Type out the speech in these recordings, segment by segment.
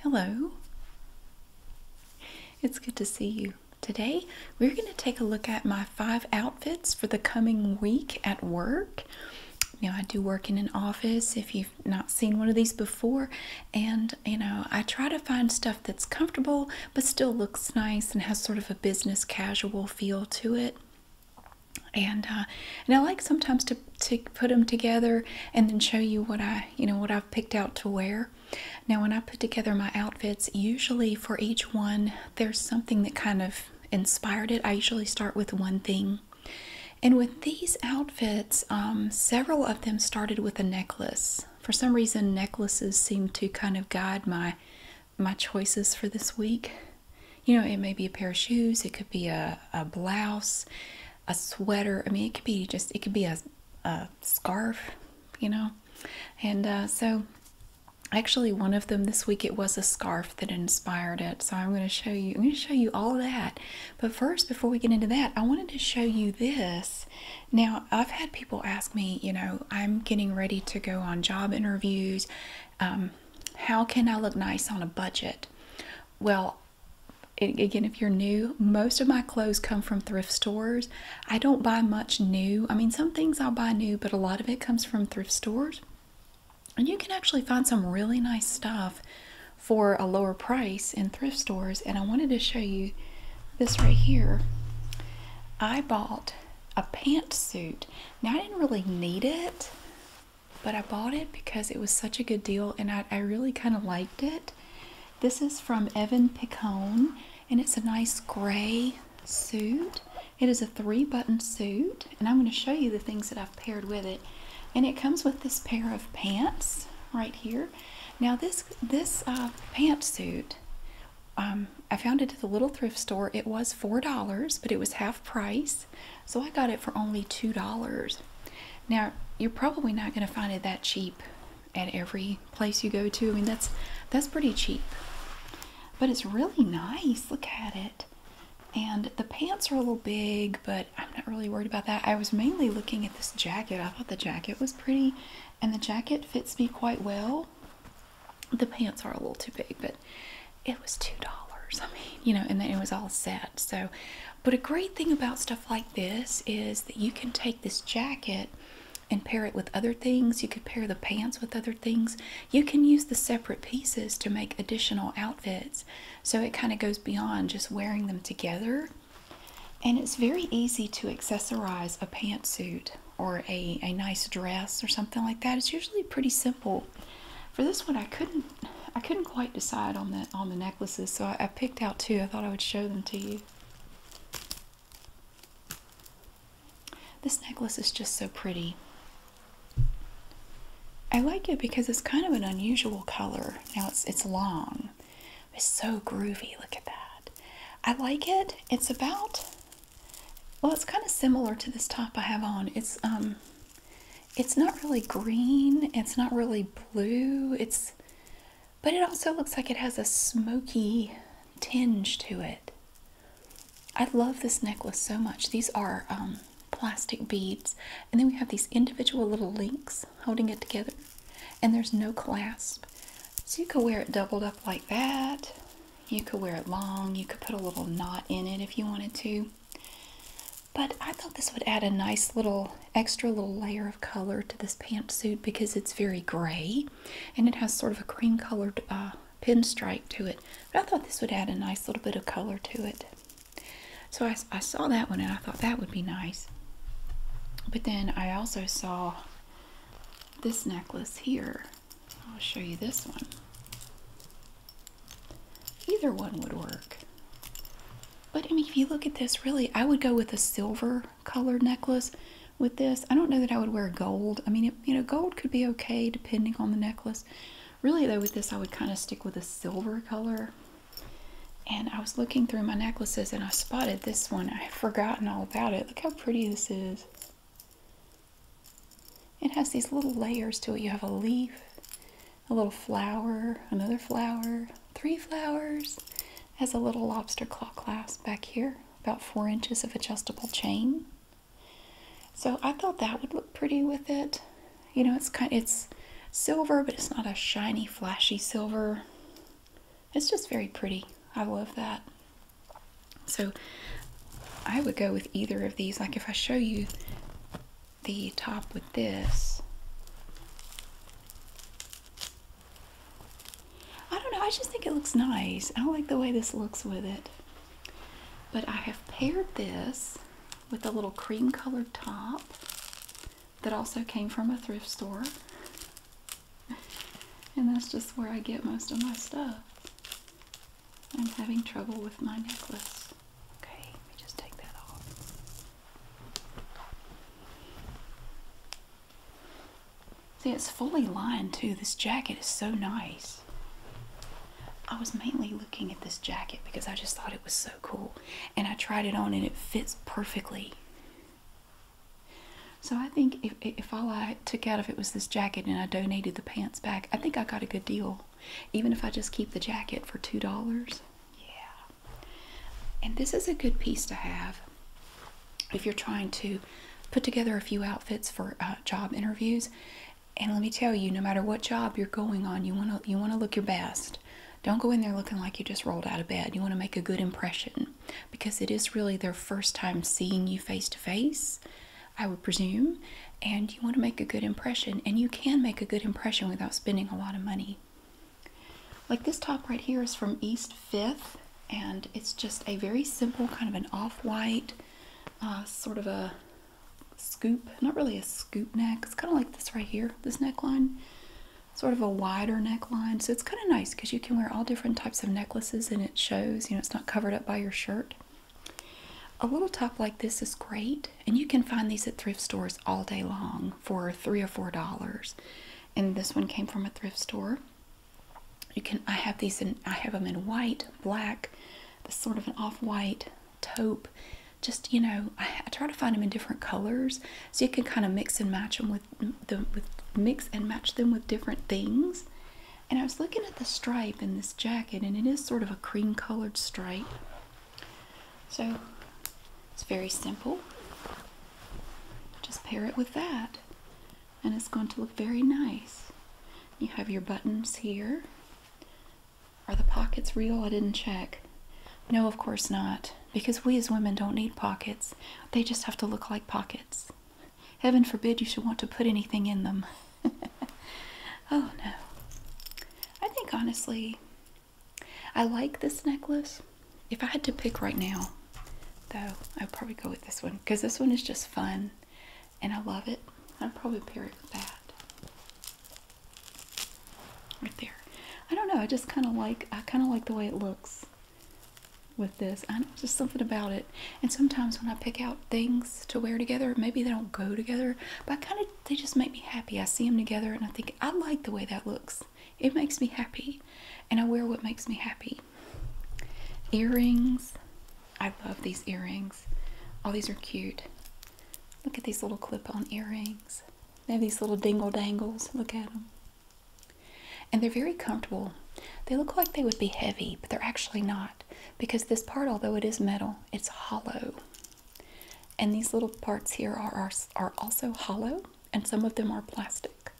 Hello. It's good to see you. Today, we're going to take a look at my five outfits for the coming week at work. Now, I do work in an office if you've not seen one of these before, and you know, I try to find stuff that's comfortable but still looks nice and has sort of a business casual feel to it. And uh, I like sometimes to to put them together and then show you what I you know, what I've picked out to wear. Now, when I put together my outfits, usually for each one, there's something that kind of inspired it. I usually start with one thing. And with these outfits, um, several of them started with a necklace. For some reason, necklaces seem to kind of guide my my choices for this week. You know, it may be a pair of shoes, it could be a blouse, a sweater. I mean, it could be just, it could be a, a scarf, you know. And uh, so, actually, one of them this week, it was a scarf that inspired it. So I'm going to show you, I'm going to show you all that. But first, before we get into that, I wanted to show you this. Now, I've had people ask me, you know, I'm getting ready to go on job interviews. Um, how can I look nice on a budget? Well, again, if you're new, most of my clothes come from thrift stores. I don't buy much new. I mean, some things I'll buy new, but a lot of it comes from thrift stores. And you can actually find some really nice stuff for a lower price in thrift stores. And I wanted to show you this right here. I bought a pantsuit. Now, I didn't really need it, but I bought it because it was such a good deal and I, really kind of liked it. This is from Evan Picone and it's a nice gray suit. It is a three button suit and I'm going to show you the things that I've paired with it. And it comes with this pair of pants right here. Now this this uh, pantsuit, um, I found it at the little thrift store. It was $4, but it was half price. So I got it for only $2. Now, you're probably not going to find it that cheap at every place you go to. I mean, that's that's pretty cheap. But it's really nice. Look at it. And the pants are a little big, but I'm not really worried about that. I was mainly looking at this jacket. I thought the jacket was pretty, and the jacket fits me quite well. The pants are a little too big, but it was $2. I mean, you know, and then it was all set. So but a great thing about stuff like this is that you can take this jacket and pair it with other things. You could pair the pants with other things. You can use the separate pieces to make additional outfits. So it kind of goes beyond just wearing them together. And it's very easy to accessorize a pantsuit or a, a nice dress or something like that. It's usually pretty simple. For this one I couldn't I couldn't quite decide on the on the necklaces, so I, I picked out two. I thought I would show them to you. This necklace is just so pretty. I like it because it's kind of an unusual color. Now it's it's long. It's so groovy. Look at that. I like it. It's about well, it's kind of similar to this top I have on. It's um it's not really green. It's not really blue. It's but it also looks like it has a smoky tinge to it. I love this necklace so much. These are um, plastic beads, and then we have these individual little links holding it together, and there's no clasp. So you could wear it doubled up like that. You could wear it long. You could put a little knot in it if you wanted to. But I thought this would add a nice little extra little layer color to this pantsuit because it's very gray and it has sort of a cream colored uh, pinstripe to it. But I thought this would add a nice little bit of color to it. So I saw that one and I thought that would be nice. But then I also saw this necklace here. I'll show you this one. Either one would work. But I mean, if you look at this, really, I would go with a silver colored necklace with this. I don't know that I would wear gold. I mean, you know, gold could be okay depending on the necklace. Really, though, with this, I would kind of stick with a silver color. And I was looking through my necklaces and I spotted this one. I had forgotten all about it. Look how pretty this is. It has these little layers to it. You have a leaf, a little flower, another flower, three flowers has a little lobster claw clasp back here, about four inches of adjustable chain. So I thought that would look pretty with it. You know, it's kind it's silver, but it's not a shiny, flashy silver. It's just very pretty. I love that. So I would go with either of these. Like if I show you the top with this, I don't know, I just think it looks nice. I like the way this looks with it. But I have paired this with a little cream colored top that also came from a thrift store. And that's just where I get most of my stuff. I'm having trouble with my necklace. Okay, let me just take that off. See, it's fully lined too. This jacket is so nice. I was mainly looking at this jacket because I just thought it was so cool. And I tried it on and it fits perfectly. So I think if, if all I took out of it was this jacket and I donated the pants back, I think I got a good deal. Even if I just keep the jacket for $2, yeah. And this is a good piece to have if you're trying to put together a few outfits for uh, job interviews. And let me tell you, no matter what job you're going on, you want to you want to look your best. Don't go in there looking like you just rolled out of bed. You want to make a good impression because it is really their first time seeing you face to face, I would presume, and you want to make a good impression and you can make a good impression without spending a lot of money. Like this top right here is from East Fifth, and it's just a very simple kind of an off-white, uh, sort of a scoop, not really a scoop neck. It's kind of like this right here, this neckline, sort of a wider neckline. So it's kind of nice because you can wear all different types of necklaces and it shows, you know, it's not covered up by your shirt. A little top like this is great, and you can find these at thrift stores all day long for three or four dollars and this one came from a thrift store. You can I have these in I have them in white, black, this sort of an off-white taupe. Just you know, I, I try to find them in different colors so you can kind of mix and match them with the with mix and match them with different things. And I was looking at the stripe in this jacket, and it is sort of a cream-colored stripe. So it's very simple. Just pair it with that, and it's going to look very nice. You have your buttons here. Are the pockets real? I didn't check. No, of course not, because we as women don't need pockets. They just have to look like pockets. Heaven forbid you should want to put anything in them. oh no. I think honestly, I like this necklace. If I had to pick right now, though, I'd probably go with this one because this one is just fun and I love it. I'd probably pair it with that. Right there. I don't know, I just kinda like I kinda like the way it looks with this. I know just something about it. And sometimes when I pick out things to wear together, maybe they don't go together, but I kinda they just make me happy. I see them together and I think I like the way that looks. It makes me happy, and I wear what makes me happy. Earrings. I love these earrings. All oh, these are cute. Look at these little clip on earrings. They have these little dingle dangles. Look at them. And they're very comfortable. They look like they would be heavy, but they're actually not because this part, although it is metal, it's hollow. And these little parts here are, are also hollow and some of them are plastic.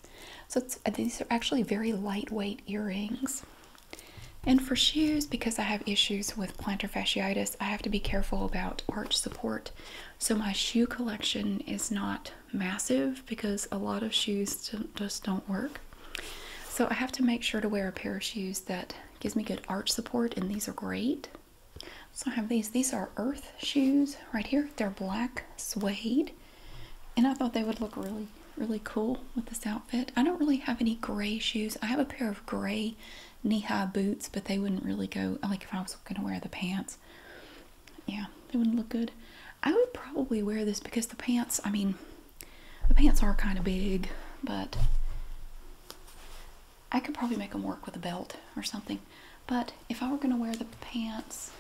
So uh, these are actually very lightweight earrings. And for shoes, because I have issues with plantar fasciitis, I have to be careful about arch support. So my shoe collection is not massive because a lot of shoes just don't work. So I have to make sure to wear a pair of shoes that gives me good arch support, and these are great. So I have these. These are earth shoes right here. They're black suede. And I thought they would look really, really cool with this outfit. I don't really have any gray shoes. I have a pair of gray knee-high boots, but they wouldn't really go, like if I was going to wear the pants. Yeah, they wouldn't look good. I would probably wear this because the pants, I mean, the pants are kind of big, but I could probably make them work with a belt or something. But if I were going to wear the pants,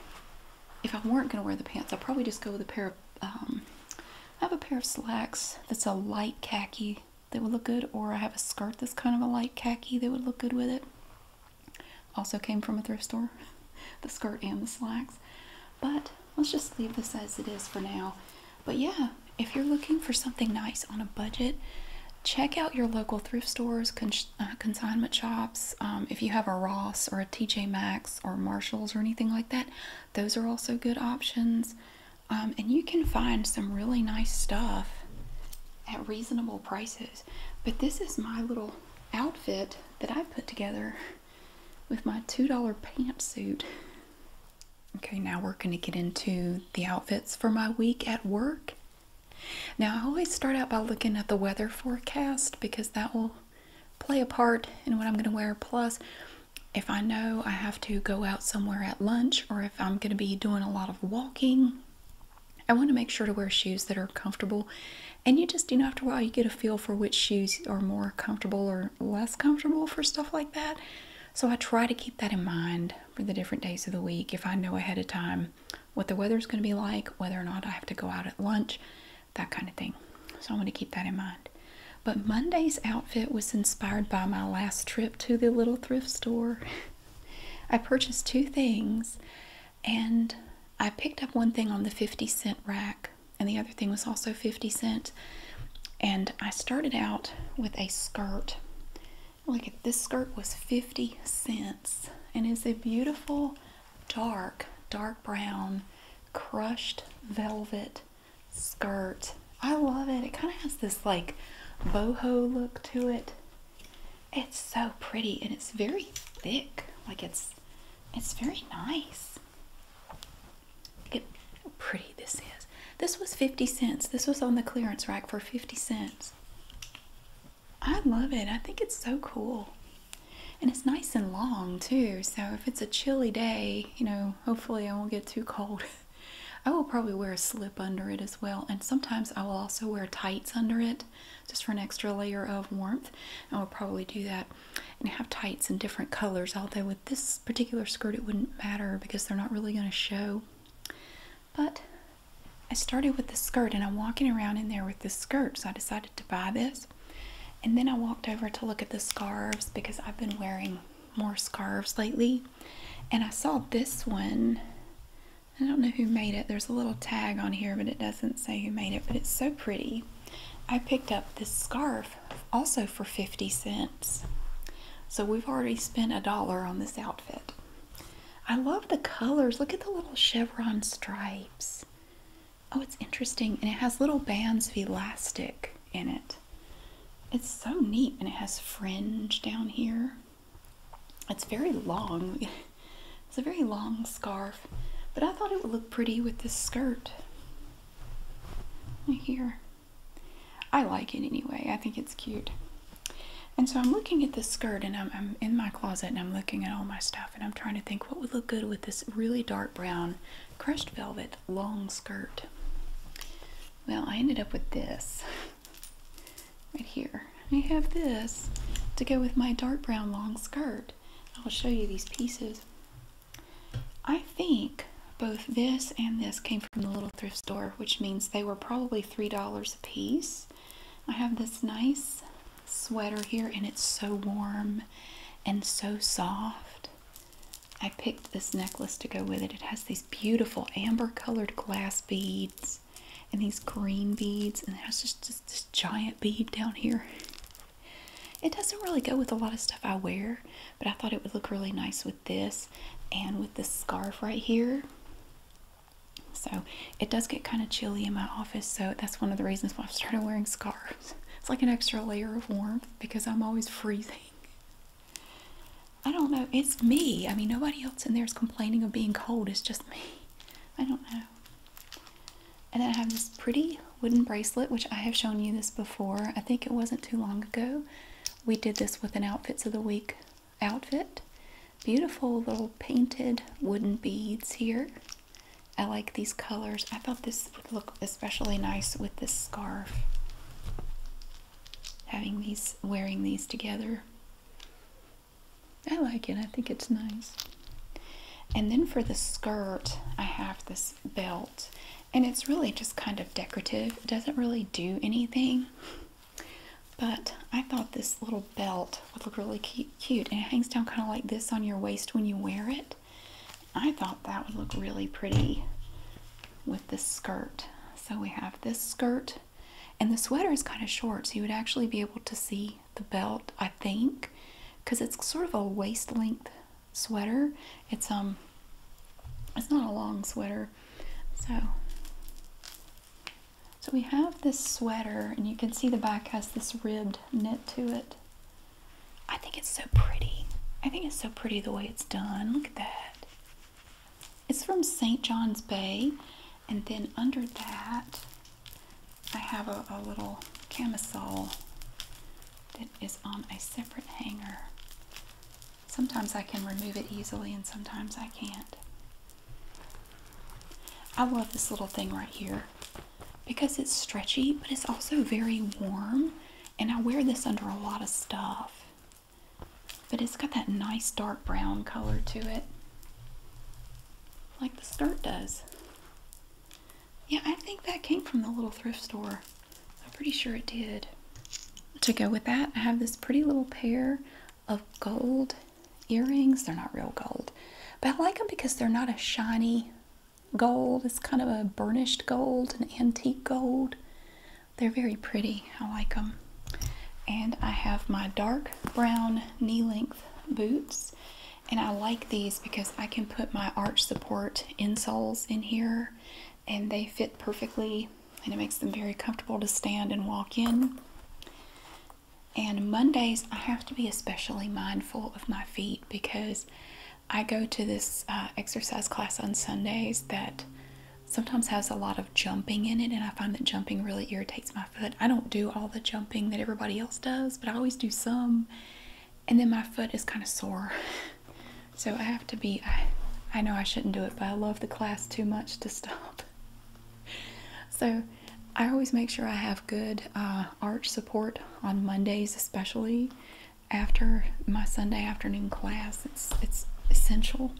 if I weren't going to wear the pants, I'd probably just go with a pair of, um, I have a pair of slacks that's a light khaki that would look good, or I have a skirt that's kind of a light khaki that would look good with it. Also came from a thrift store, the skirt and the slacks. But let's just leave this as it is for now. But yeah, if you're looking for something nice on a budget, check out your local thrift stores, uh, consignment shops, um, if you have a Ross or a TJ Maxx or Marshalls or anything like that, those are also good options. Um, and you can find some really nice stuff at reasonable prices. But this is my little outfit that I put together with my $2 pantsuit. Okay, now we're going to get into the outfits for my week at work now, I always start out by looking at the weather forecast because that will play a part in what I'm going to wear. Plus, if I know I have to go out somewhere at lunch or if I'm going to be doing a lot of walking, I want to make sure to wear shoes that are comfortable. And you just, you know, after a while, you get a feel for which shoes are more comfortable or less comfortable for stuff like that. So I try to keep that in mind for the different days of the week if I know ahead of time what the weather's going to be like, whether or not I have to go out at lunch, that kind of thing. So I am going to keep that in mind. But Monday's outfit was inspired by my last trip to the little thrift store. I purchased two things and I picked up one thing on the 50 cent rack and the other thing was also 50 cents. And I started out with a skirt. Look at this skirt was 50 cents and it's a beautiful dark, dark brown, crushed velvet skirt. I love it. It kind of has this like boho look to it. It's so pretty and it's very thick. Like it's it's very nice. Look how pretty this is. This was 50 cents. This was on the clearance rack for 50 cents. I love it. I think it's so cool. And it's nice and long too. So if it's a chilly day, you know, hopefully I won't get too cold. I will probably wear a slip under it as well. And sometimes I will also wear tights under it just for an extra layer of warmth. I will probably do that and have tights in different colors. Although with this particular skirt, it wouldn't matter because they're not really going to show. But I started with the skirt and I'm walking around in there with the skirt, so I decided to buy this. And then I walked over to look at the scarves because I've been wearing more scarves lately. And I saw this one. I don't know who made it. There's a little tag on here, but it doesn't say who made it, but it's so pretty. I picked up this scarf also for 50 cents. So we've already spent a dollar on this outfit. I love the colors. Look at the little chevron stripes. Oh, it's interesting. And it has little bands of elastic in it. It's so neat. And it has fringe down here. It's very long. it's a very long scarf. But I thought it would look pretty with this skirt. here. I like it anyway. I think it's cute. And so I'm looking at this skirt and I'm in my closet and I'm looking at all my stuff and I'm trying to think what would look good with this really dark brown crushed velvet long skirt. Well, I ended up with this right here. I have this to go with my dark brown long skirt. I'll show you these pieces. I think both this and this came from the little thrift store, which means they were probably $3 a piece. I have this nice sweater here and it's so warm and so soft. I picked this necklace to go with it. It has these beautiful amber colored glass beads and these green beads and it has just, this giant bead down here. It doesn't really go with a lot of stuff I wear, but I thought it would look really nice with this and with this scarf right here. So it does get kind of chilly in my office, so that's one of the reasons why I've started wearing scarves. It's like an extra layer of warmth because I'm always freezing. I don't know, it's me. I mean, nobody else in there is complaining of being cold, it's just me. I don't know. And then I have this pretty wooden bracelet, which I have shown you this before. I think it wasn't too long ago. We did this with an Outfits of the Week outfit. Beautiful little painted wooden beads here. I like these colors. I thought this would look especially nice with this scarf. Having these, wearing these together. I like it. I think it's nice. And then for the skirt, I have this belt. And it's really just kind of decorative. It doesn't really do anything. But I thought this little belt would look really cute and it hangs down kind of like this on your waist when you wear it. I thought that would look really pretty with this skirt. So we have this skirt and the sweater is kind of short so you would actually be able to see the belt I think because it's sort of a waist length sweater. It's um it's not a long sweater. So so we have this sweater and you can see the back has this ribbed knit to it. I think it's so pretty. I think it's so pretty the way it's done. Look at that. It's from St. John's Bay. And then under that, I have a little camisole that is on a separate hanger. Sometimes I can remove it easily and sometimes I can't. I love this little thing right here because it's stretchy, but it's also very warm. And I wear this under a lot of stuff. But it's got that nice dark brown color to it, like the skirt does. Yeah, I think that came from the little thrift store. I'm pretty sure it did. To go with that, I have this pretty little pair of gold earrings. They're not real gold, but I like them because they're not a shiny gold. It's kind of a burnished gold, an antique gold. They're very pretty. I like them. And I have my dark brown knee length boots. And I like these because I can put my arch support insoles in here and they fit perfectly and it makes them very comfortable to stand and walk in. And Mondays, I have to be especially mindful of my feet because I go to this uh, exercise class on Sundays that sometimes has a lot of jumping in it, and I find that jumping really irritates my foot. I don't do all the jumping that everybody else does, but I always do some, and then my foot is kind of sore. So I have to be, I, I know I shouldn't do it, but I love the class too much to stop. So I always make sure I have good uh, arch support on Mondays, especially after my Sunday afternoon class. It's it's essential.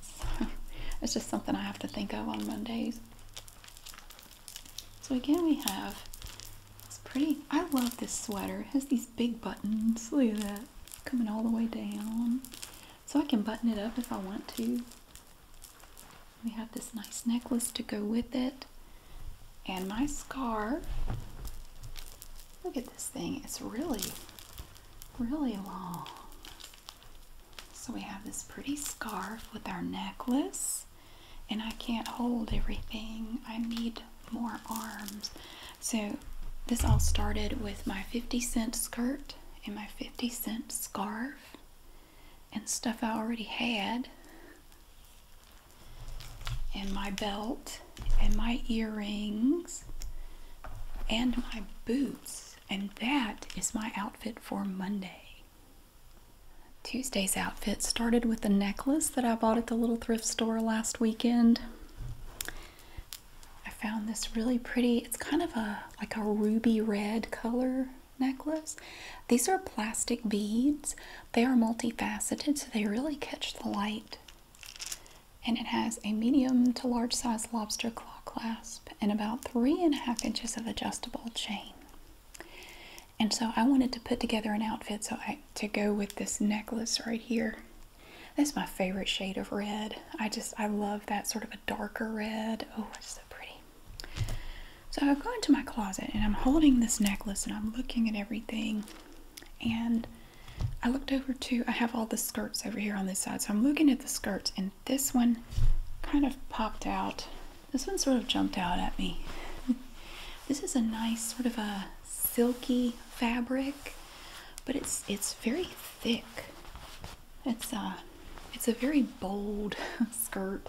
so, it's just something I have to think of on Mondays. So again, we have it's pretty. I love this sweater. It has these big buttons. Look at that coming all the way down. So I can button it up if I want to. We have this nice necklace to go with it. And my scarf. Look at this thing. It's really, really long. So we have this pretty scarf with our necklace. And I can't hold everything. I need more arms. So this all started with my 50 cent skirt and my 50 cent scarf and stuff I already had, and my belt, and my earrings, and my boots. And that is my outfit for Monday. Tuesday's outfit started with a necklace that I bought at the little thrift store last weekend. I found this really pretty, it's kind of a like a ruby red color necklace. These are plastic beads. They are multifaceted, so they really catch the light. And it has a medium to large size lobster claw clasp and about three and a half inches of adjustable chain. And so I wanted to put together an outfit so I to go with this necklace right here. That's my favorite shade of red. I just I love that sort of a darker red. Oh, it's so pretty. So I go into my closet and I'm holding this necklace and I'm looking at everything. And I looked over to, I have all the skirts over here on this side. So I'm looking at the skirts and this one kind of popped out. This one sort of jumped out at me. this is a nice sort of a silky fabric, but it's it's very thick. It's a, uh, it's a very bold skirt.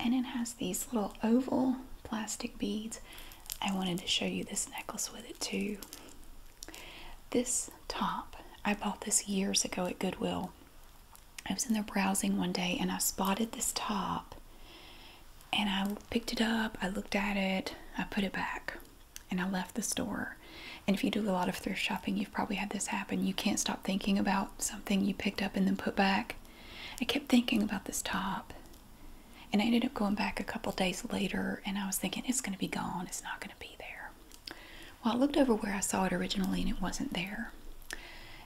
and it has these little oval plastic beads. I wanted to show you this necklace with it too. This top, I bought this years ago at Goodwill. I was in there browsing one day and I spotted this top and I picked it up, I looked at it, I put it back, and I left the store. And if you do a lot of thrift shopping, you you've probably had this happen. You can't stop thinking about something you picked up and then put back. I kept thinking about this top. And I ended up going back a couple days later and I was thinking, it's going to be gone. It's not going to be there. Well, I looked over where I saw it originally and it wasn't there.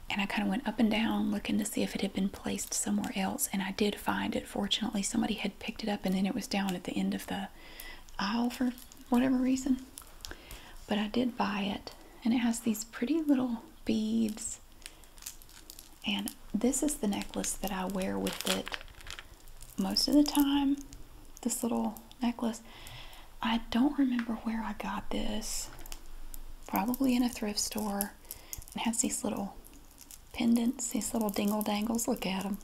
And I kind of went up and down looking to see if it had been placed somewhere else. And I did find it. Fortunately, somebody had picked it up and then it was down at the end of the aisle for whatever reason. But I did buy it and it has these pretty little beads. And this is the necklace that I wear with it most of the time. This little necklace. I don't remember where I got this. Probably in a thrift store. It has these little pendants, these little dingle dangles. Look at them.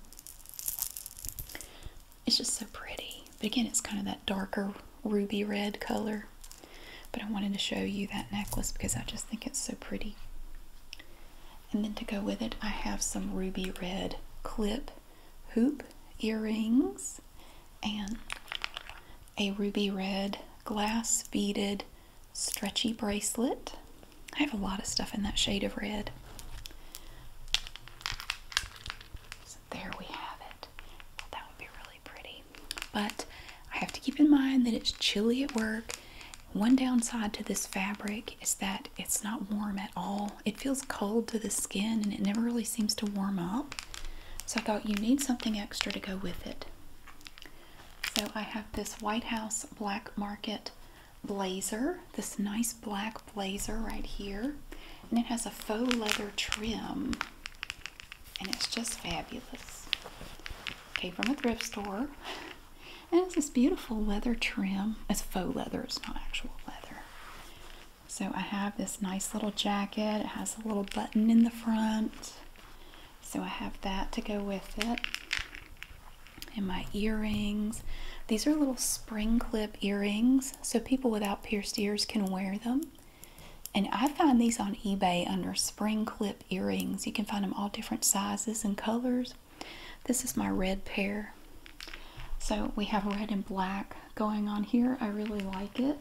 It's just so pretty. But again, it's kind of that darker ruby red color. But I wanted to show you that necklace because I just think it's so pretty. And then to go with it, I have some ruby red clip hoop earrings and a ruby red glass beaded stretchy bracelet. I have a lot of stuff in that shade of red there we have it. That would be really pretty. But I have to keep in mind that it's chilly at work. One downside to this fabric is that it's not warm at all. It feels cold to the skin and it never really seems to warm up. So I thought you need something extra to go with it. So I have this White House Black Market blazer, this nice black blazer right here. And it has a faux leather trim and it's just fabulous. Came from a thrift store, and it's this beautiful leather trim. It's faux leather, it's not actual leather. So I have this nice little jacket. It has a little button in the front. So I have that to go with it. And my earrings. These are little spring clip earrings, so people without pierced ears can wear them. And I find these on eBay under spring clip earrings. You can find them all different sizes and colors. This is my red pair. So we have red and black going on here. I really like it.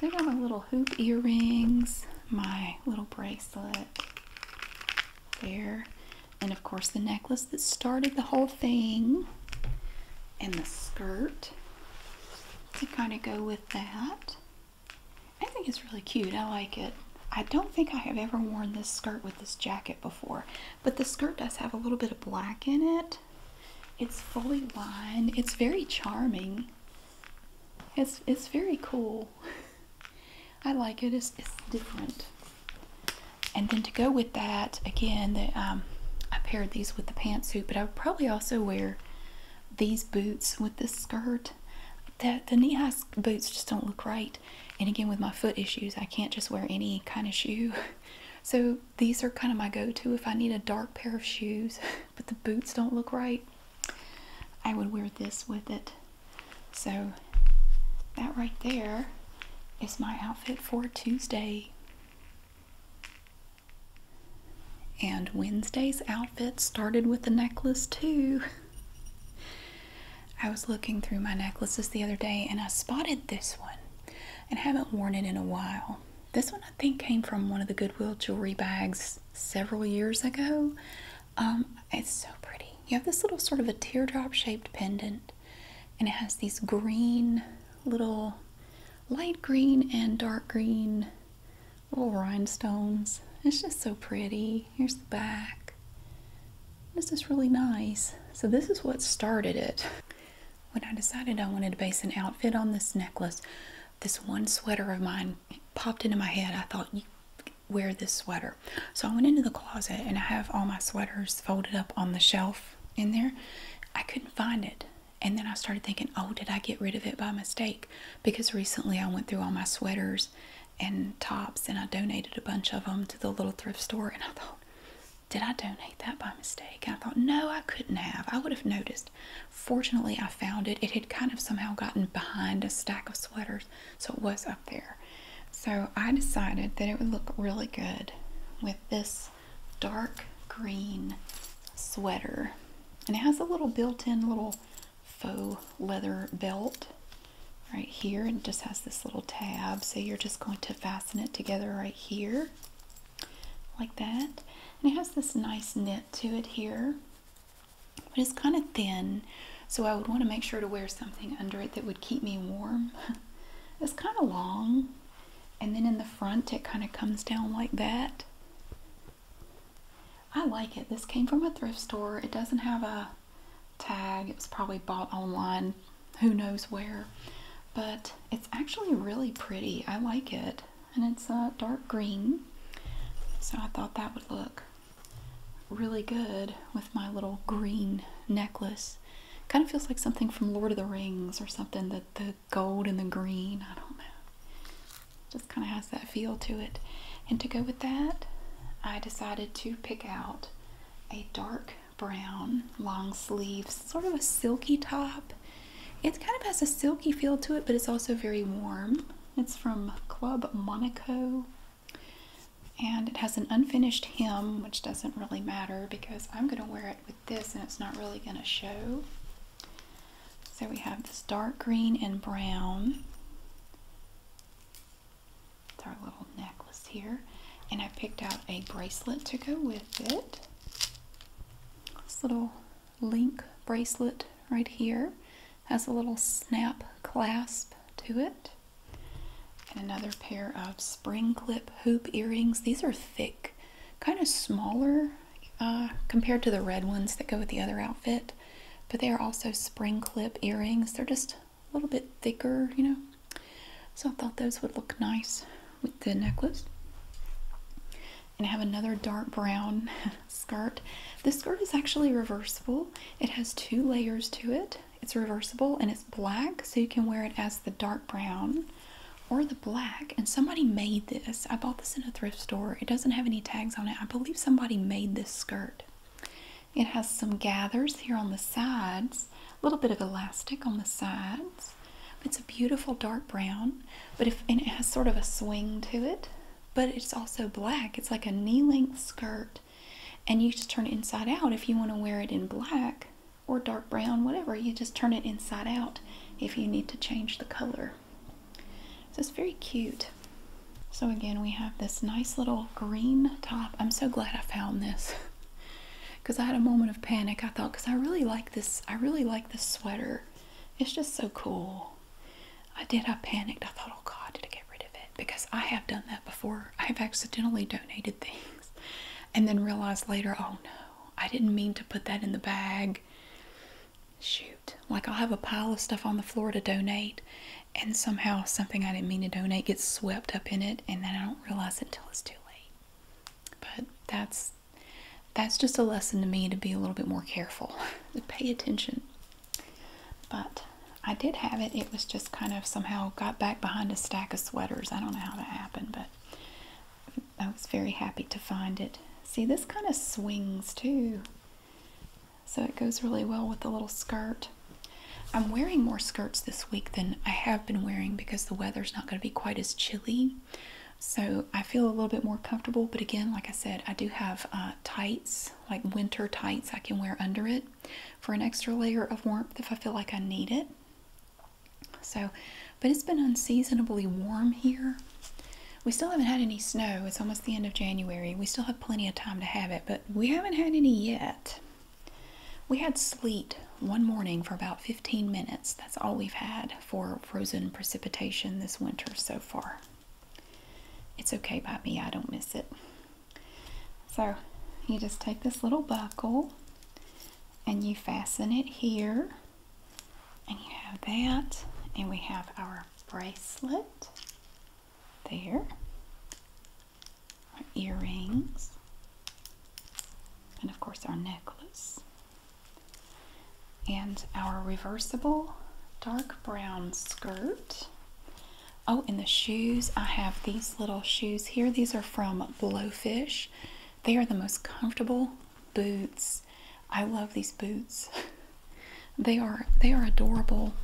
They got my little hoop earrings, my little bracelet there, and of course the necklace that started the whole thing, and the skirt to kind of go with that. I think it's really cute. I like it. I don't think I have ever worn this skirt with this jacket before, but the skirt does have a little bit of black in it. It's fully lined. It's very charming. It's it's very cool. I like it. It's, it's different. And then to go with that, again, the, um, I paired these with the pantsuit, but I would probably also wear these boots with the skirt. That the knee high boots just don't look right. And again, with my foot issues, I can't just wear any kind of shoe. So these are kind of my go to if I need a dark pair of shoes, but the boots don't look right. I would wear this with it. So that right there is my outfit for Tuesday. And Wednesday's outfit started with the necklace, too. I was looking through my necklaces the other day and I spotted this one and haven't worn it in a while. This one, I think, came from one of the Goodwill jewelry bags several years ago. Um, it's so pretty. You have this little sort of a teardrop shaped pendant and it has these green little light green and dark green little rhinestones. It's just so pretty. Here's the back. This is really nice. So this is what started it. When I decided I wanted to base an outfit on this necklace, this one sweater of mine popped into my head. I thought, you wear this sweater. So I went into the closet and I have all my sweaters folded up on the shelf in there. I couldn't find it. And then I started thinking, oh, did I get rid of it by mistake? Because recently I went through all my sweaters and tops and I donated a bunch of them to the little thrift store. And I thought, did I donate that by mistake? I thought, no, I couldn't have. I would have noticed. Fortunately, I found it. It had kind of somehow gotten behind a stack of sweaters, so it was up there. So I decided that it would look really good with this dark green sweater. And it has a little built-in little faux leather belt right here and just has this little tab. So you're just going to fasten it together right here like that. And it has this nice knit to it here, but it's kind of thin. So I would want to make sure to wear something under it that would keep me warm. it's kind of long, and then in the front it kind of comes down like that. I like it. This came from a thrift store. It doesn't have a tag. It was probably bought online. Who knows where. But it's actually really pretty. I like it. And it's a uh, dark green. So I thought that would look really good with my little green necklace. Kind of feels like something from Lord of the Rings or something that the gold and the green. I don't know. Just kind of has that feel to it. And to go with that, I decided to pick out a dark brown long sleeves sort of a silky top. It kind of has a silky feel to it, but it's also very warm. It's from Club Monaco. And it has an unfinished hem, which doesn't really matter because I'm going to wear it with this and it's not really going to show. So we have this dark green and brown. our little necklace here. And I picked out a bracelet to go with it. This little link bracelet right here has a little snap clasp to it. And another pair of spring clip hoop earrings. These are thick kind of smaller uh, compared to the red ones that go with the other outfit. But they are also spring clip earrings. They're just a little bit thicker, you know. So I thought those would look nice with the necklace. And I have another dark brown skirt. This skirt is actually reversible. It has two layers to it. It's reversible and it's black, so you can wear it as the dark brown or the black. And somebody made this. I bought this in a thrift store. It doesn't have any tags on it. I believe somebody made this skirt. It has some gathers here on the sides, a little bit of elastic on the sides. It's a beautiful dark brown, but and it has sort of a swing to it, but it's also black. It's like a knee-length skirt, and you just turn it inside out if you want to wear it in black or dark brown, whatever. You just turn it inside out if you need to change the color here. So it's very cute. So again, we have this nice little green top. I'm so glad I found this because I had a moment of panic. I thought, because I really like this, I really like this sweater. It's just so cool. I did, I panicked. I thought, oh God, did I get rid of it? Because I have done that before. I've accidentally donated things and then realized later, oh no, I didn't mean to put that in the bag shoot, like I'll have a pile of stuff on the floor to donate, and somehow something I didn't mean to donate gets swept up in it, and then I don't realize until it's too late. But that's that's just a lesson to me to be a little bit more careful, to pay attention. But I did have it. It was just kind of somehow got back behind a stack of sweaters. I don't know how that happened, but I was very happy to find it. See, this kind of swings too. So it goes really well with the little skirt. I'm wearing more skirts this week than I have been wearing because the weather's not going to be quite as chilly. So I feel a little bit more comfortable. But again, like I said, I do have uh, tights, like winter tights I can wear under it for an extra layer of warmth if I feel like I need it. So, but it's been unseasonably warm here. We still haven't had any snow. It's almost the end of January. We still have plenty of time to have it, but we haven't had any yet. We had sleet one morning for about 15 minutes. That's all we've had for frozen precipitation this winter so far. It's okay by me. I don't miss it. So you just take this little buckle and you fasten it here and you have that, and we have our bracelet there, our earrings, and of course our necklace, and our reversible dark brown skirt. Oh, and the shoes. I have these little shoes here. These are from Blowfish. They are the most comfortable boots. I love these boots. they are they are adorable.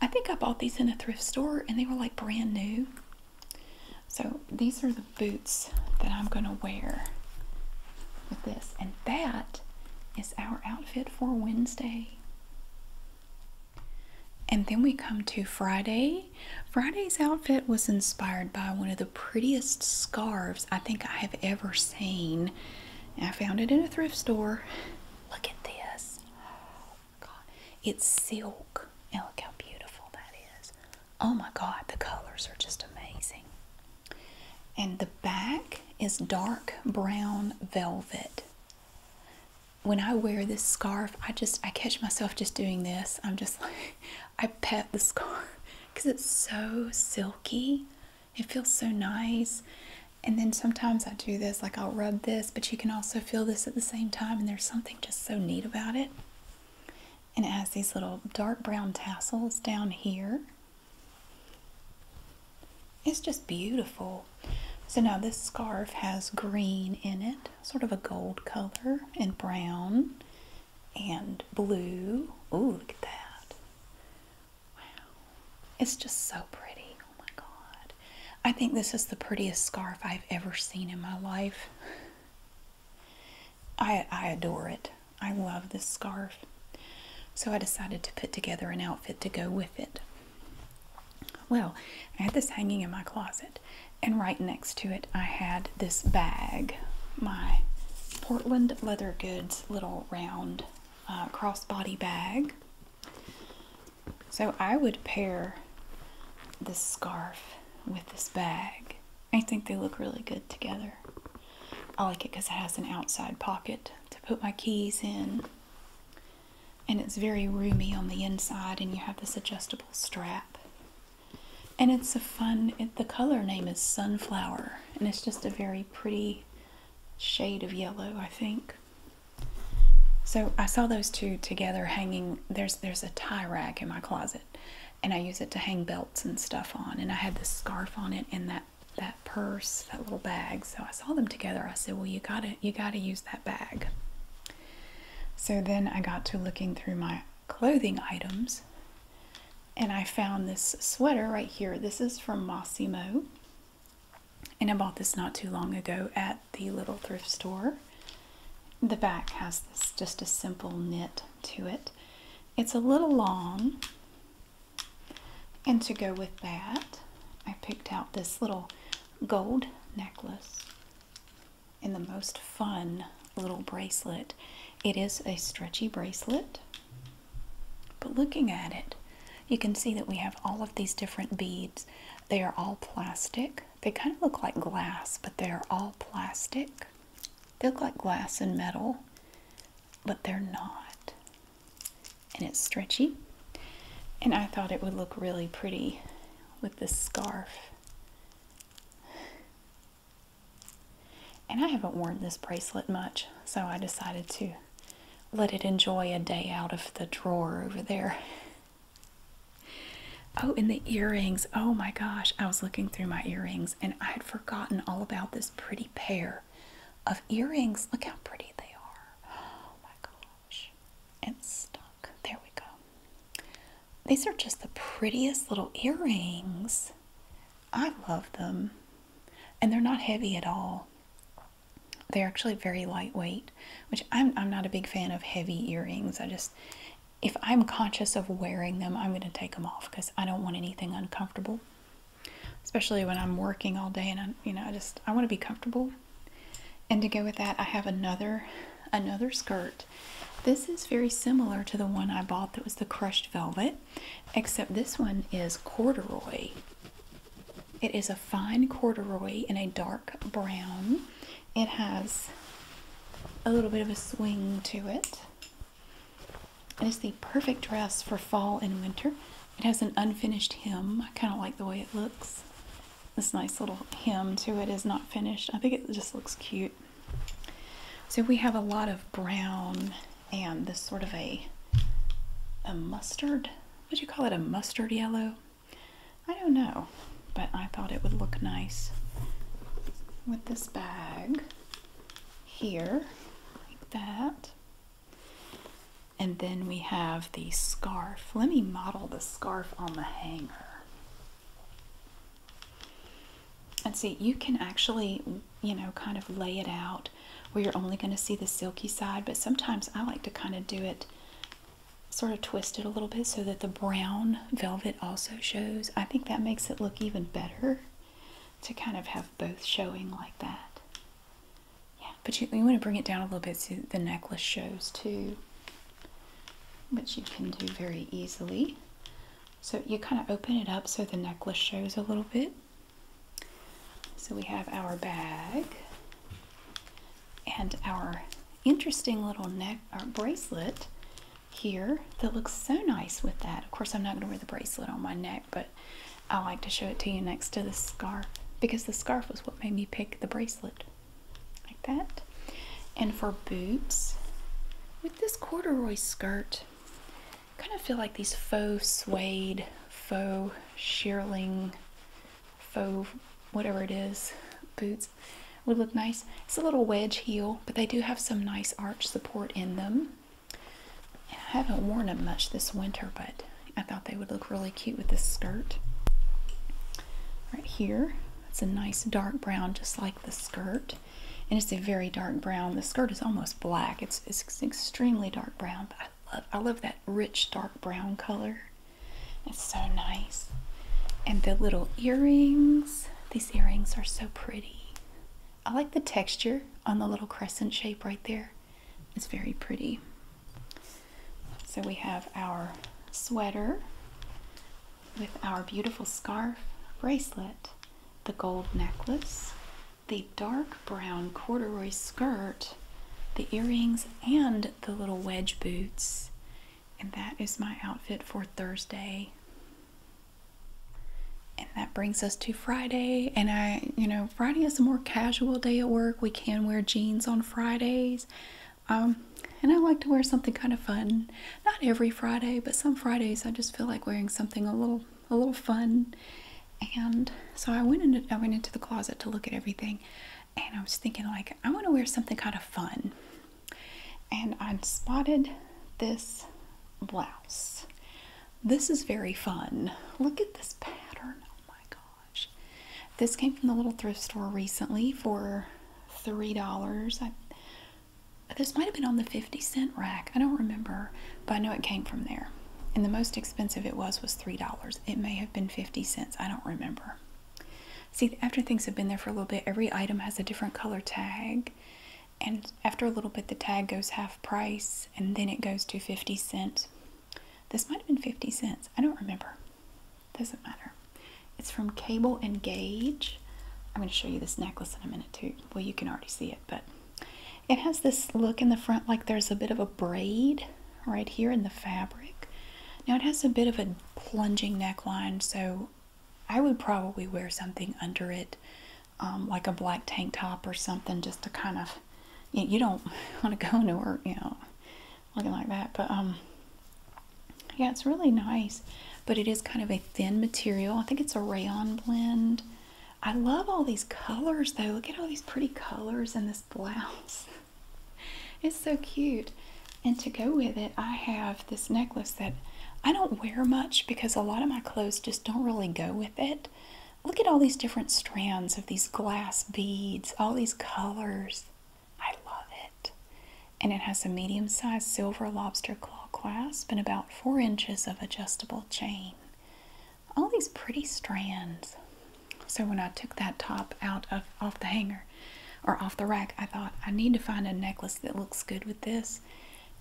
I think I bought these in a thrift store and they were like brand new. So these are the boots that I'm going to wear with this. And that is our outfit for Wednesday. And then we come to Friday. Friday's outfit was inspired by one of the prettiest scarves I think I have ever seen. I found it in a thrift store. Look at this. Oh my God. It's silk. Oh my God, the colors are just amazing. And the back is dark brown velvet. When I wear this scarf, I just, I catch myself just doing this. I'm just like, I pet the scarf because it's so silky. It feels so nice. And then sometimes I do this, like I'll rub this, but you can also feel this at the same time. And there's something just so neat about it. And it has these little dark brown tassels down here. It's just beautiful. So now this scarf has green in it, sort of a gold color, and brown and blue. Oh, look at that. Wow. It's just so pretty. Oh my god. I think this is the prettiest scarf I've ever seen in my life. I I adore it. I love this scarf. So I decided to put together an outfit to go with it. Well, I had this hanging in my closet, and right next to it I had this bag, my Portland leather goods little round uh, crossbody bag. So I would pair this scarf with this bag. I think they look really good together. I like it because it has an outside pocket to put my keys in. And it's very roomy on the inside and you have this adjustable strap. And it's a fun, the color name is Sunflower. And it's just a very pretty shade of yellow, I think. So I saw those two together hanging. There's there's a tie rack in my closet, and I use it to hang belts and stuff on. And I had this scarf on it and that that purse, that little bag. So I saw them together. I said, "Well, you gotta you gotta use that bag." So then I got to looking through my clothing items, and I found this sweater right here. This is from Massimo. And I bought this not too long ago at the little thrift store. The back has this just a simple knit to it. It's a little long. And to go with that, I picked out this little gold necklace and the most fun little bracelet. It is a stretchy bracelet but looking at it, you can see that we have all of these different beads. They are all plastic. They kind of look like glass, but they're all plastic. They look like glass and metal, but they're not. And it's stretchy. And I thought it would look really pretty with this scarf. And I haven't worn this bracelet much, so I decided to let it enjoy a day out of the drawer over there. Oh, and the earrings. Oh my gosh, I was looking through my earrings and I had forgotten all about this pretty pair of earrings. Look how pretty they are. Oh my gosh. It's stuck. There we go. These are just the prettiest little earrings. I love them. And they're not heavy at all. They're actually very lightweight, which I'm, I'm not a big fan of heavy earrings. I just, if I'm conscious of wearing them, I'm going to take them off because I don't want anything uncomfortable. Especially when I'm working all day and I, you know, I just, I want to be comfortable. And to go with that, I have another, another skirt. This is very similar to the one I bought that was the crushed velvet except this one is corduroy. It is a fine corduroy in a dark brown. It has a little bit of a swing to it. It is the perfect dress for fall and winter. It has an unfinished hem. I kind of like the way it looks. This nice little hem to it is not finished. I think it just looks cute. So we have a lot of brown and this sort of a a mustard would you call it a mustard yellow I don't know but I thought it would look nice with this bag here like that and then we have the scarf let me model the scarf on the hanger and see you can actually you know, kind of lay it out where you're only going to see the silky side. But sometimes I like to kind of do it sort of twist it a little bit so that the brown velvet also shows. I think that makes it look even better to kind of have both showing like that. Yeah, but you, you want to bring it down a little bit so the necklace shows too, which you can do very easily. So you kind of open it up so the necklace shows a little bit. So we have our bag and our interesting little neck or uh, bracelet here that looks so nice with that. Of course, I'm not going to wear the bracelet on my neck, but I like to show it to you next to the scarf because the scarf was what made me pick the bracelet like that. And for boots, with this corduroy skirt, kind of feel like these faux suede, faux shearling, faux whatever it is boots would look nice. It's a little wedge heel, but they do have some nice arch support in them. I haven't worn them much this winter, but I thought they would look really cute with this skirt. Right here, it's a nice dark brown, just like the skirt. And it's a very dark brown. The skirt is almost black. It's, it's it's extremely dark brown, I love I love that rich dark brown color. It's so nice. And the little earrings. These earrings are so pretty. I like the texture on the little crescent shape right there. It's very pretty. So we have our sweater with our beautiful scarf bracelet, the gold necklace, the dark brown corduroy skirt, the earrings, and the little wedge boots. And that is my outfit for Thursday. And that brings us to Friday. And I, you know, Friday is a more casual day at work. We can wear jeans on Fridays. Um, and I like to wear something kind of fun. Not every Friday, but some Fridays I just feel like wearing something a little a little fun. And so I went into I went into the closet to look at everything, and I was thinking like I want to wear something kind of fun. And I spotted this blouse. This is very fun. Look at this pattern. Oh my gosh. This came from the little thrift store recently for $3. this might have been on the 50 cent rack. I don't remember, but I know it came from there and the most expensive it was was three dollars it may have been 50 cents i don't remember see after things have been there for a little bit every item has a different color tag and after a little bit the tag goes half price and then it goes to 50 cents this might have been 50 cents i don't remember doesn't matter it's from cable and gauge i'm going to show you this necklace in a minute too well you can already see it but it has this look in the front like there's a bit of a braid right here in the fabric. Now it has a bit of a plunging neckline, so I would probably wear something under it, um, like a black tank top or something, just to kind of, you, don't want to go nowhere, you know, looking like that. But um, yeah, it's really nice, but it is kind of a thin material. I think it's a rayon blend. I love all these colors though. Look at all these pretty colors in this blouse. it's so cute. And to go with it, I have this necklace that I don't wear much because a lot of my clothes just don't really go with it. Look at all these different strands of these glass beads, all these colors. I love it. And it has a medium sized silver lobster claw clasp and about four inches of adjustable chain all these pretty strands. So when I took that top out of off the hanger or off the rack, I thought I need to find a necklace that looks good with this.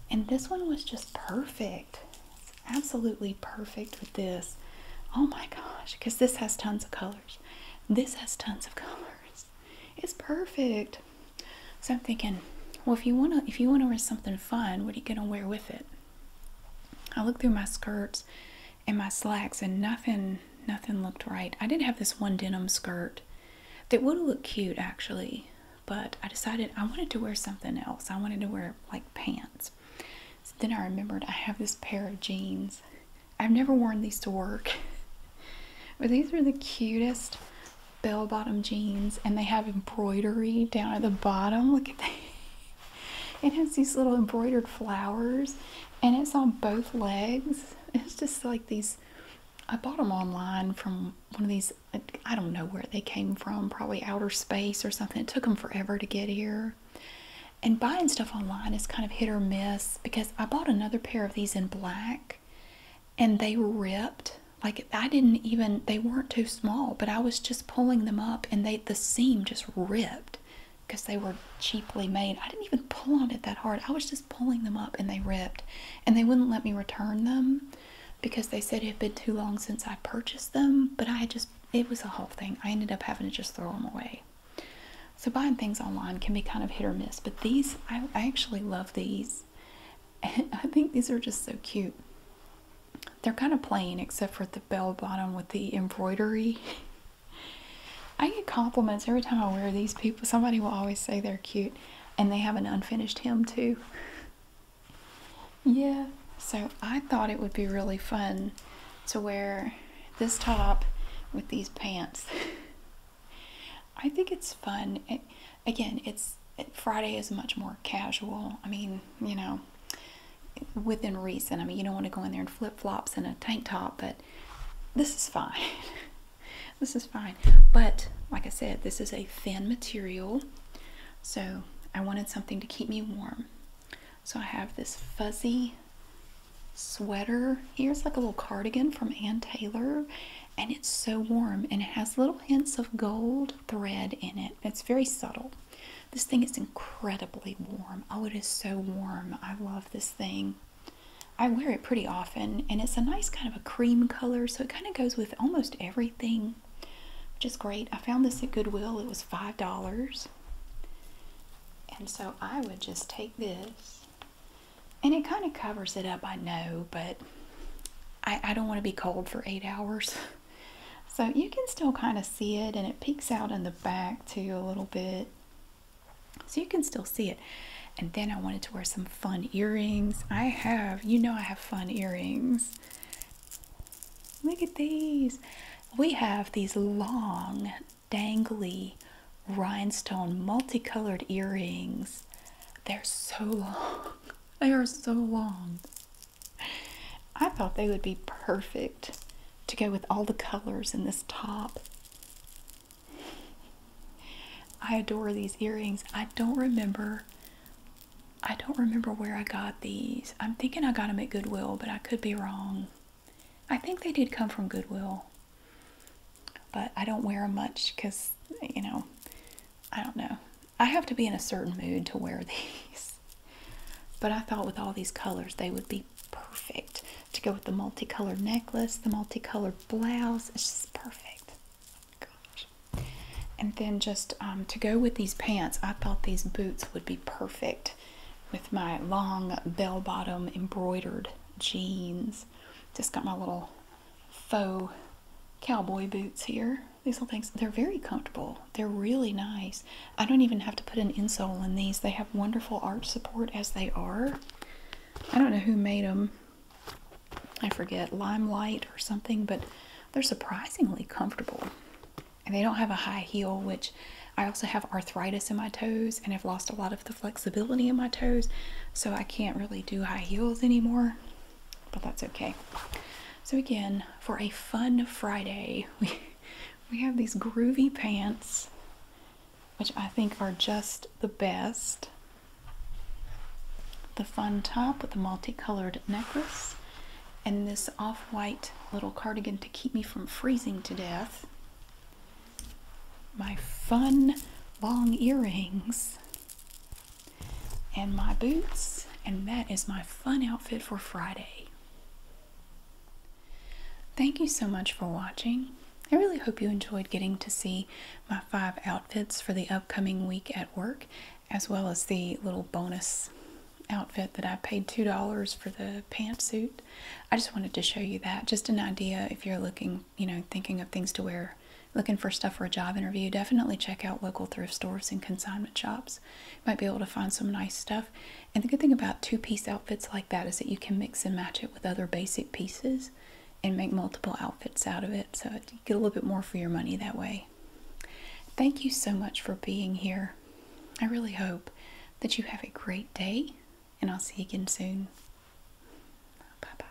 And this one was just perfect. It's absolutely perfect with this. Oh my gosh, because this has tons of colors. This has tons of colors. It's perfect. So I'm thinking, well if you wanna if you wanna wear something fun, what are you gonna wear with it? I looked through my skirts and my slacks and nothing nothing looked right. I did have this one denim skirt that would have looked cute actually, but I decided I wanted to wear something else. I wanted to wear like pants. then I remembered I have this pair of jeans. I've never worn these to work. but these are the cutest bell bottom jeans and they have embroidery down at the bottom. Look at that. It has these little embroidered flowers and it's on both legs. It's just like these. I bought them online from one of these. I don't know where they came from, probably outer space or something. It took them forever to get here. And buying stuff online is kind of hit or miss because I bought another pair of these in black and they ripped. Like I didn't even, they weren't too small, but I was just pulling them up and they the seam just ripped because they were cheaply made. I didn't even pull on it that hard. I was just pulling them up and they ripped. And they wouldn't let me return them because they said it had been too long since I purchased them. But I just, it was a whole thing. I ended up having to just throw them away. So buying things online can be kind of hit or miss. But these, I, actually love these. I think these are just so cute. They're kind of plain except for the bell bottom with the embroidery. I get compliments every time I wear these people. Somebody will always say they're cute and they have an unfinished hem too. yeah, so I thought it would be really fun to wear this top with these pants. I think it's fun. again, it's Friday is much more casual. I mean, you know, within reason. I mean, you don't want to go in there in flip flops and a tank top, but this is fine. this is fine. But like I said, this is a thin material, so I wanted something to keep me warm. So I have this fuzzy sweater. Here's like a little cardigan from Ann Taylor, and it's so warm and it has little hints of gold thread in it. It's very subtle. This thing is incredibly warm. Oh, it is so warm. I love this thing. I wear it pretty often, and it's a nice kind of a cream color, so it kind of goes with almost everything, which is great. I found this at Goodwill. It was $5. And so I would just take this, and it kind of covers it up, I know, but I, I don't want to be cold for eight hours. So you can still kind of see it and it peeks out in the back too a little bit. So you can still see it. And then I wanted to wear some fun earrings. I have, you know I have fun earrings. Look at these. We have these long, dangly, rhinestone, multicolored earrings. They're so long. They are so long. I thought they would be perfect to go with all the colors in this top. I adore these earrings. I don't remember I don't remember where I got these. I'm thinking I got them at Goodwill, but I could be wrong. I think they did come from Goodwill. But I don't wear them much cuz you know, I don't know. I have to be in a certain mood to wear these. But I thought with all these colors, they would be perfect to go with the multicolored necklace, the multicolored blouse. It's just perfect. And then just um, to go with these pants, I thought these boots would be perfect with my long bell bottom embroidered jeans. Just got my little faux cowboy boots here. These little things, they're very comfortable. They're really nice. I don't even have to put an insole in these. They have wonderful arch support as they are. I don't know who made them. I forget, Limelight or something, but they're surprisingly comfortable. And they don't have a high heel, which I also have arthritis in my toes and have lost a lot of the flexibility in my toes, so I can't really do high heels anymore, but that's okay. So again, for a fun Friday, we have these groovy pants, which I think are just the best. The fun top with the multicolored necklace, and this off white little cardigan to keep me from freezing to death. My fun long earrings, and my boots, and that is my fun outfit for Friday. Thank you so much for watching. I really hope you enjoyed getting to see my five outfits for the upcoming week at work, as well as the little bonus outfit that I paid $2 for the pantsuit. I just wanted to show you that, just an idea if you're looking, you know, thinking of things to wear, looking for stuff for a job interview, definitely check out local thrift stores and consignment shops. You might be able to find some nice stuff. And the good thing about two piece outfits like that is that you can mix and match it with other basic pieces and make multiple outfits out of it. So you get a little bit more for your money that way. Thank you so much for being here. I really hope that you have a great day, and I'll see you again soon. Bye bye.